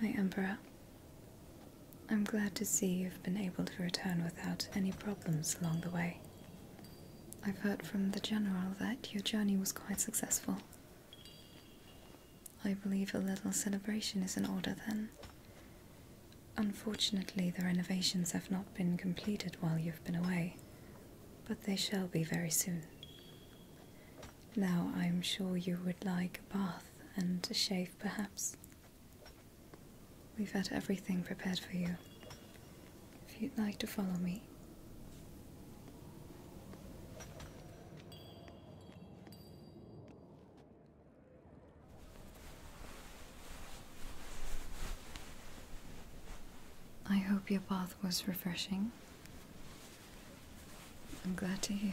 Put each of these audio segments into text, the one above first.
My Emperor, I'm glad to see you've been able to return without any problems along the way. I've heard from the General that your journey was quite successful. I believe a little celebration is in order then. Unfortunately, the renovations have not been completed while you've been away, but they shall be very soon. Now I am sure you would like a bath and a shave, perhaps. We've had everything prepared for you. If you'd like to follow me. I hope your bath was refreshing. I'm glad to hear.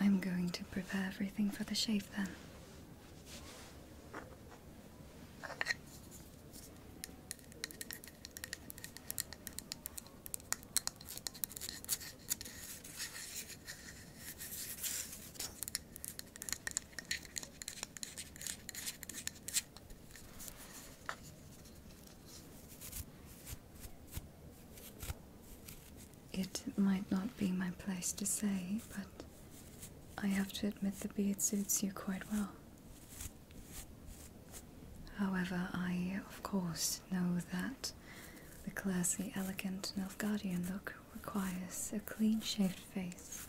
I'm going to prepare everything for the shave then. It might not be my place to say, but I have to admit the beard suits you quite well. However, I, of course, know that the classy, elegant Nilfgaardian look requires a clean-shaved face.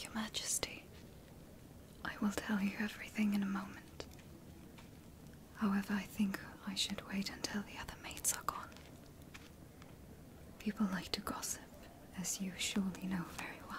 Your Majesty, I will tell you everything in a moment. However, I think I should wait until the other mates are gone. People like to gossip, as you surely know very well.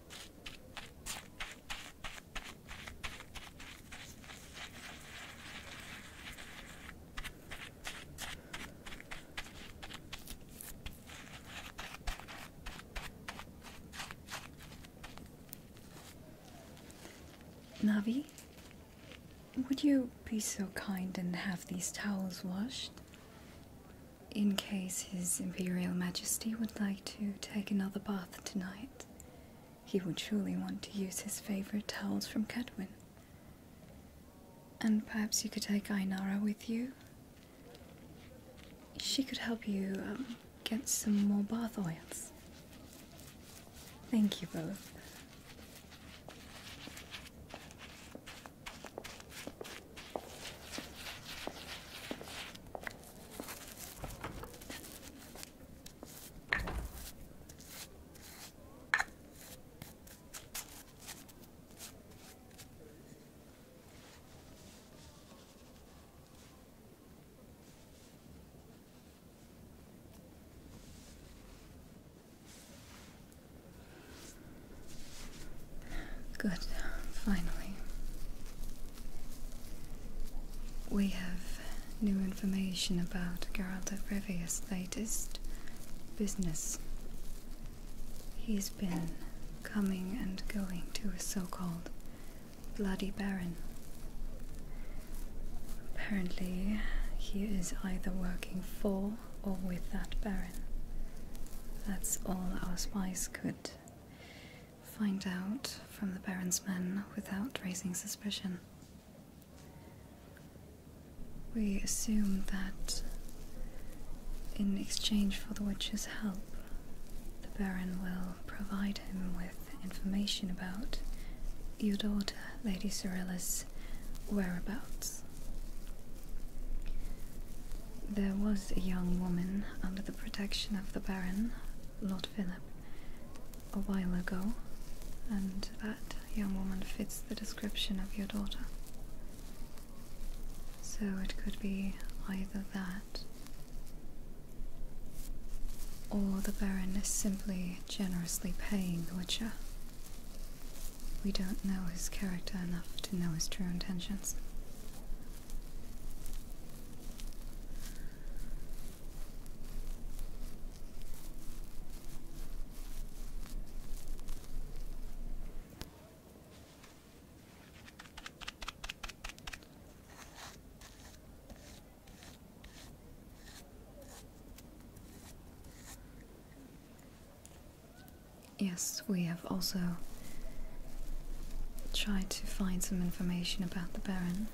Navi, would you be so kind and have these towels washed? in case His Imperial Majesty would like to take another bath tonight. He would surely want to use his favourite towels from Cadwin. And perhaps you could take Ainara with you. She could help you um, get some more bath oils. Thank you both. Good, finally. We have new information about Geralt of Rivia's latest business. He's been coming and going to a so-called Bloody Baron. Apparently, he is either working for or with that Baron. That's all our spies could find out from the Baron's men without raising suspicion. We assume that in exchange for the witch's help, the Baron will provide him with information about your daughter, Lady Cyrilla's whereabouts. There was a young woman under the protection of the Baron, Lord Philip, a while ago, and that young woman fits the description of your daughter. So it could be either that, or the Baron is simply generously paying the Witcher. We don't know his character enough to know his true intentions. Yes, we have also Try to find some information about the Baron.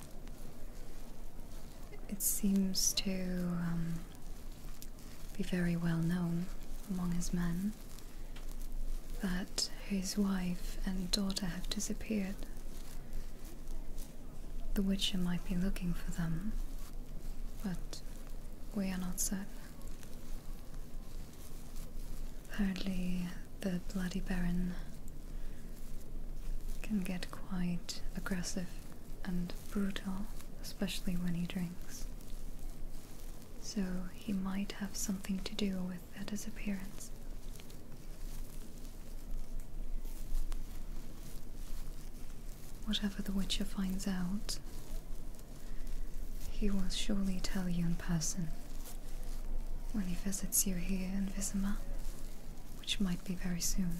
It seems to um, be very well known among his men that his wife and daughter have disappeared. The Witcher might be looking for them, but we are not certain. Apparently, the Bloody Baron can get quite aggressive and brutal, especially when he drinks. So, he might have something to do with the disappearance. Whatever the Witcher finds out, he will surely tell you in person when he visits you here in Visma, which might be very soon.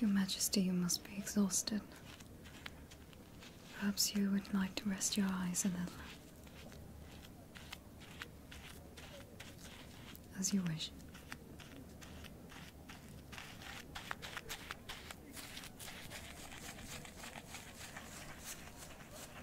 Your Majesty, you must be exhausted. Perhaps you would like to rest your eyes a little. As you wish.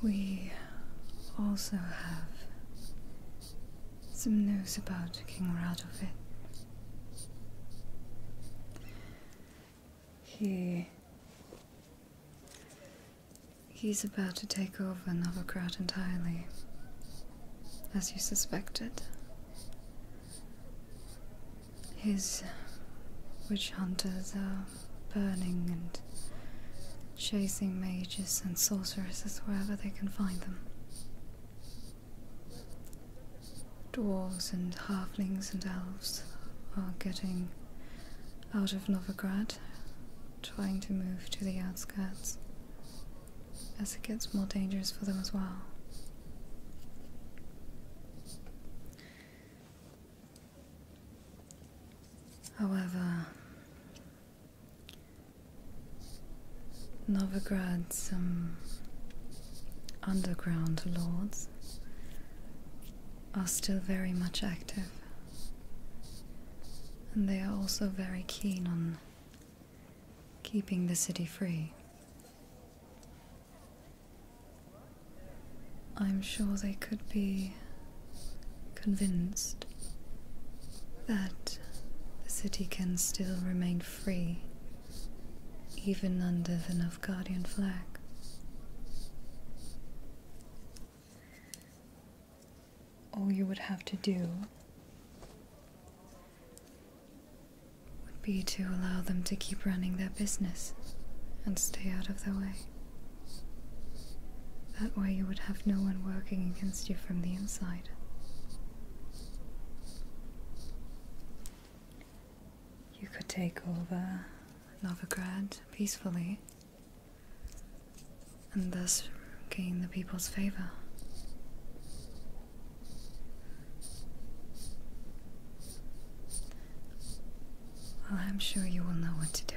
We also have some news about King Radovid. He. He's about to take over Novograd entirely, as you suspected. His witch hunters are burning and chasing mages and sorceresses wherever they can find them. Dwarves and halflings and elves are getting out of Novigrad, trying to move to the outskirts, as it gets more dangerous for them as well. However, Novigrad some underground lords are still very much active. And they are also very keen on keeping the city free. I'm sure they could be convinced that the city can still remain free even under the Novgardian flag. All you would have to do would be to allow them to keep running their business and stay out of their way. That way you would have no one working against you from the inside. You could take over Novograd peacefully and thus gain the people's favor. I'm sure you will know what to do.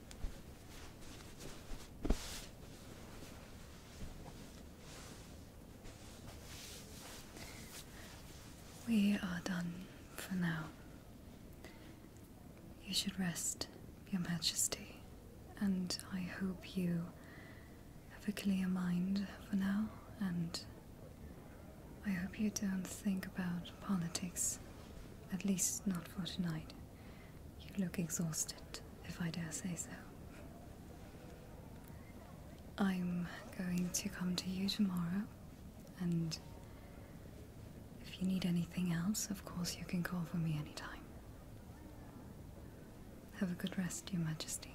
We are done for now. You should rest, Your Majesty, and I hope you have a clear mind for now, and I hope you don't think about politics, at least not for tonight. You look exhausted, if I dare say so. I'm going to come to you tomorrow, and if you need anything else, of course you can call for me anytime. Have a good rest, Your Majesty.